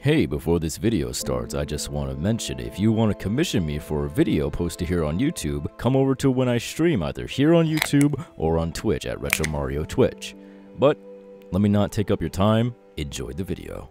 Hey, before this video starts, I just want to mention if you want to commission me for a video posted here on YouTube, come over to when I stream either here on YouTube or on Twitch at Retro Mario Twitch. But let me not take up your time, enjoy the video.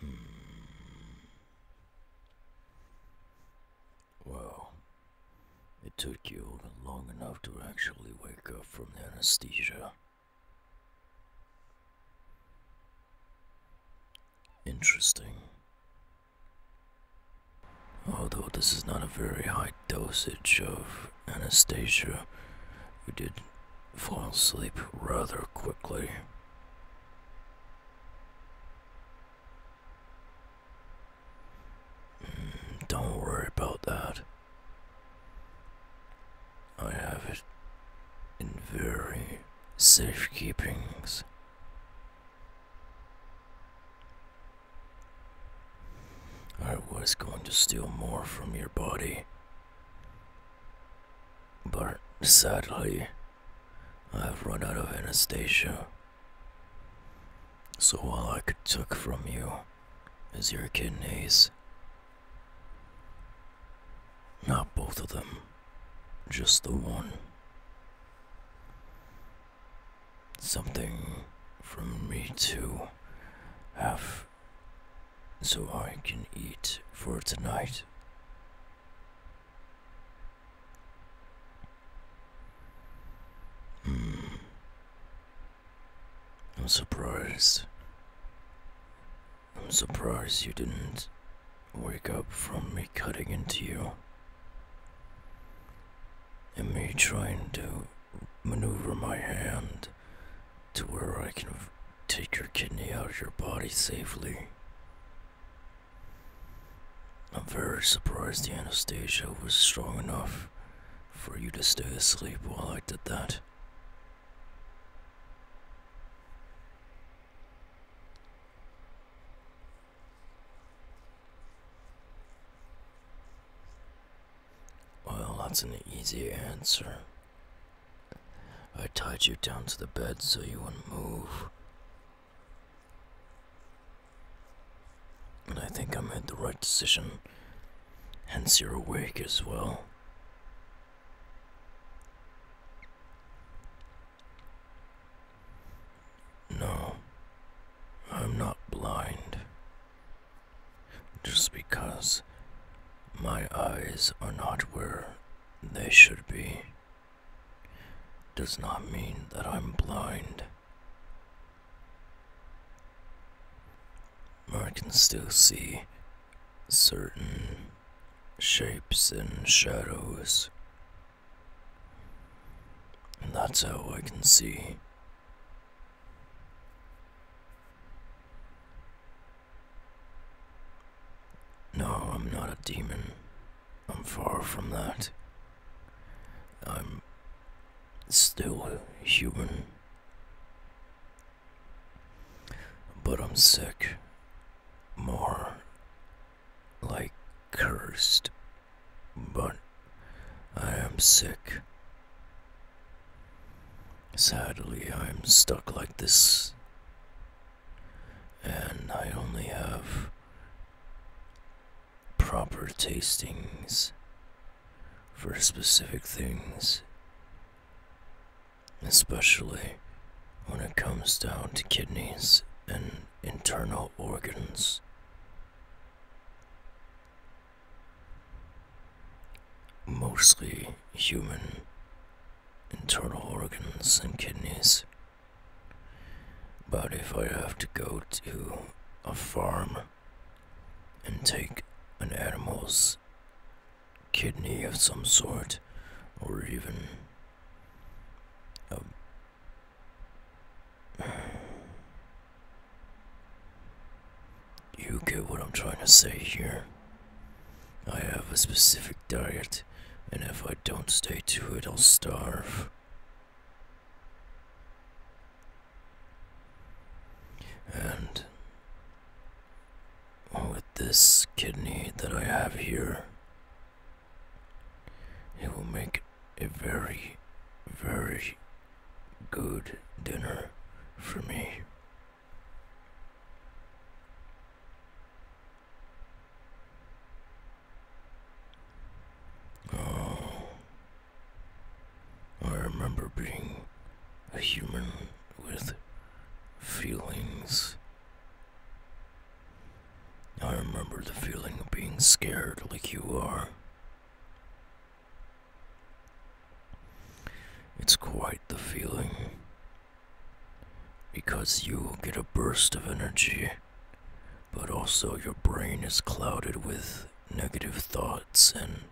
Hmm. Well, it took you long enough to actually wake up from the anesthesia. Interesting. Although this is not a very high dosage of anesthesia, we did fall asleep rather quickly. Mm, don't worry about that. I have it in very safe keepings. I was going to steal more from your body, but sadly, I've run out of Anastasia. So all I could took from you is your kidneys. Not both of them, just the one. Something from me to have so I can eat for tonight. Hmm. I'm surprised. I'm surprised you didn't wake up from me cutting into you. And me trying to maneuver my hand to where I can take your kidney out of your body safely. I'm very surprised the anesthesia was strong enough for you to stay asleep while I did that. Well, that's an easy answer. I tied you down to the bed so you wouldn't move. And I think I made the right decision. Hence, you're awake as well. No, I'm not blind just because my eyes are not where they should be does not mean that I'm blind. I can still see certain shapes and shadows. And that's how I can see. No, I'm not a demon. I'm far from that. I'm still human. But I'm sick. More like cursed. But I am sick. Sadly, I'm stuck like this, and I only have proper tastings for specific things, especially when it comes down to kidneys and internal organs mostly human internal organs and kidneys. But if I have to go to a farm and take an animal's kidney of some sort, or even a you get what I'm trying to say here. I have a specific diet, and if I don't stay to it, I'll starve. And with this kidney that I have here, it will make a very, very good dinner for me. Oh, I remember being a human with feelings. I remember the feeling of being scared like you are. It's quite the feeling. Because you get a burst of energy, but also your brain is clouded with negative thoughts and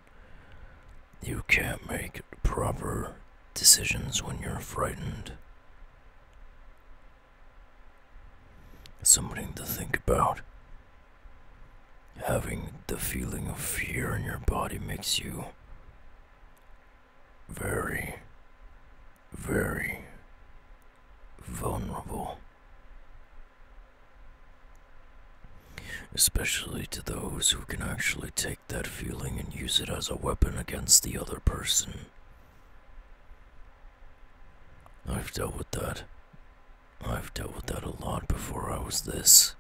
you can't make proper decisions when you're frightened. something to think about. Having the feeling of fear in your body makes you very, very vulnerable. Especially to those who can actually take that feeling and use it as a weapon against the other person. I've dealt with that I've dealt with that a lot before I was this.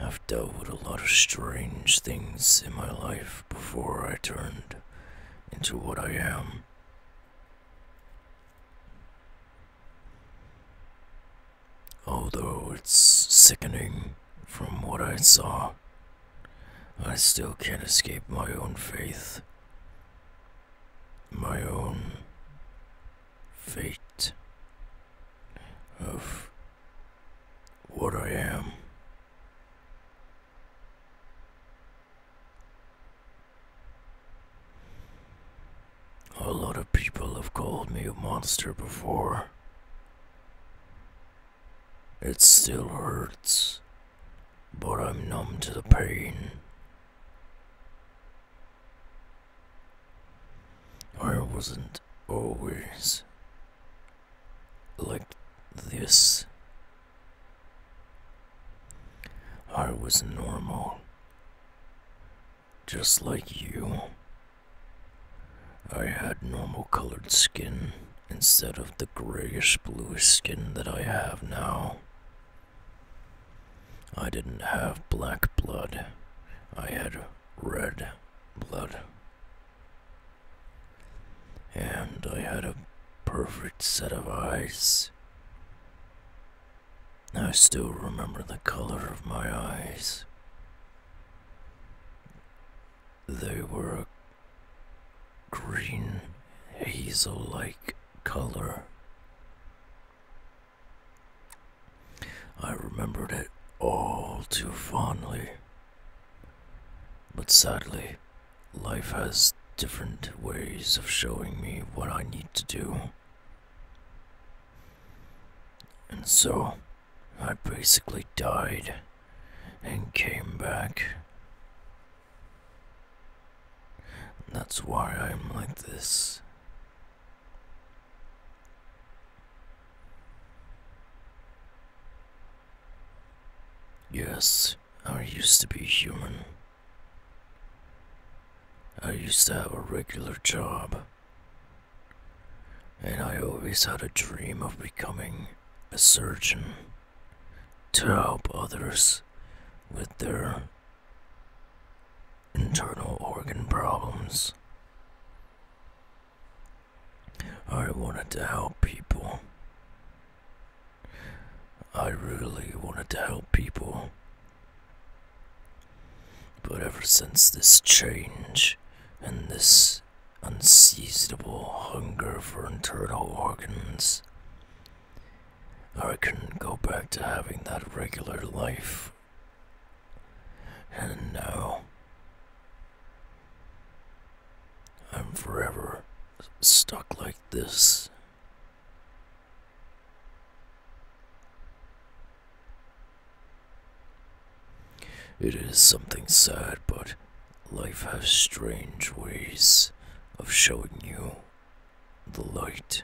I've dealt with a lot of strange things in my life before I turned into what I am. Although it's sickening from what I saw, I still can't escape my own faith my own fate of what I am. A lot of people have called me a monster before. It still hurts but I'm numb to the pain. I wasn't always like this. I was normal, just like you. I had normal colored skin instead of the grayish blue skin that I have now. I didn't have black blood, I had red blood. And I had a perfect set of eyes. I still remember the color of my eyes. They were a green hazel like color. I remembered it all too fondly. But sadly, life has different ways of showing me what I need to do. And so, I basically died and came back. That's why I'm like this. Yes, I used to be human. I used to have a regular job. And I always had a dream of becoming a surgeon to help others with their internal organ problems. I wanted to help people. I really wanted to help people. But ever since this change and this unseasonable hunger for internal organs. I couldn't go back to having that regular life. And now, I'm forever stuck like this. It is something sad, but life has strange ways of showing you the light.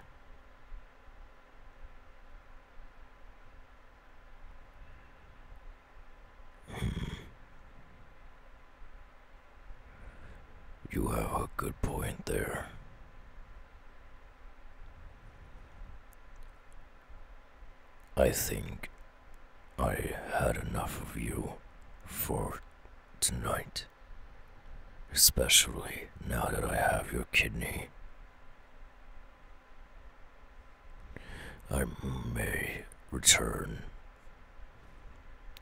Hmm. You have a good point there. I think I had enough of you for tonight. Especially now that I have your kidney. I may return.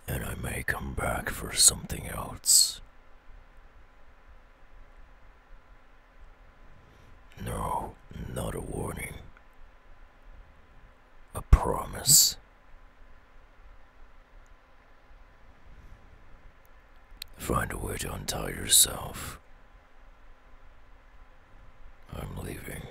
And I may come back for something else. No, not a warning. A promise. Find a way to untie yourself. I'm leaving.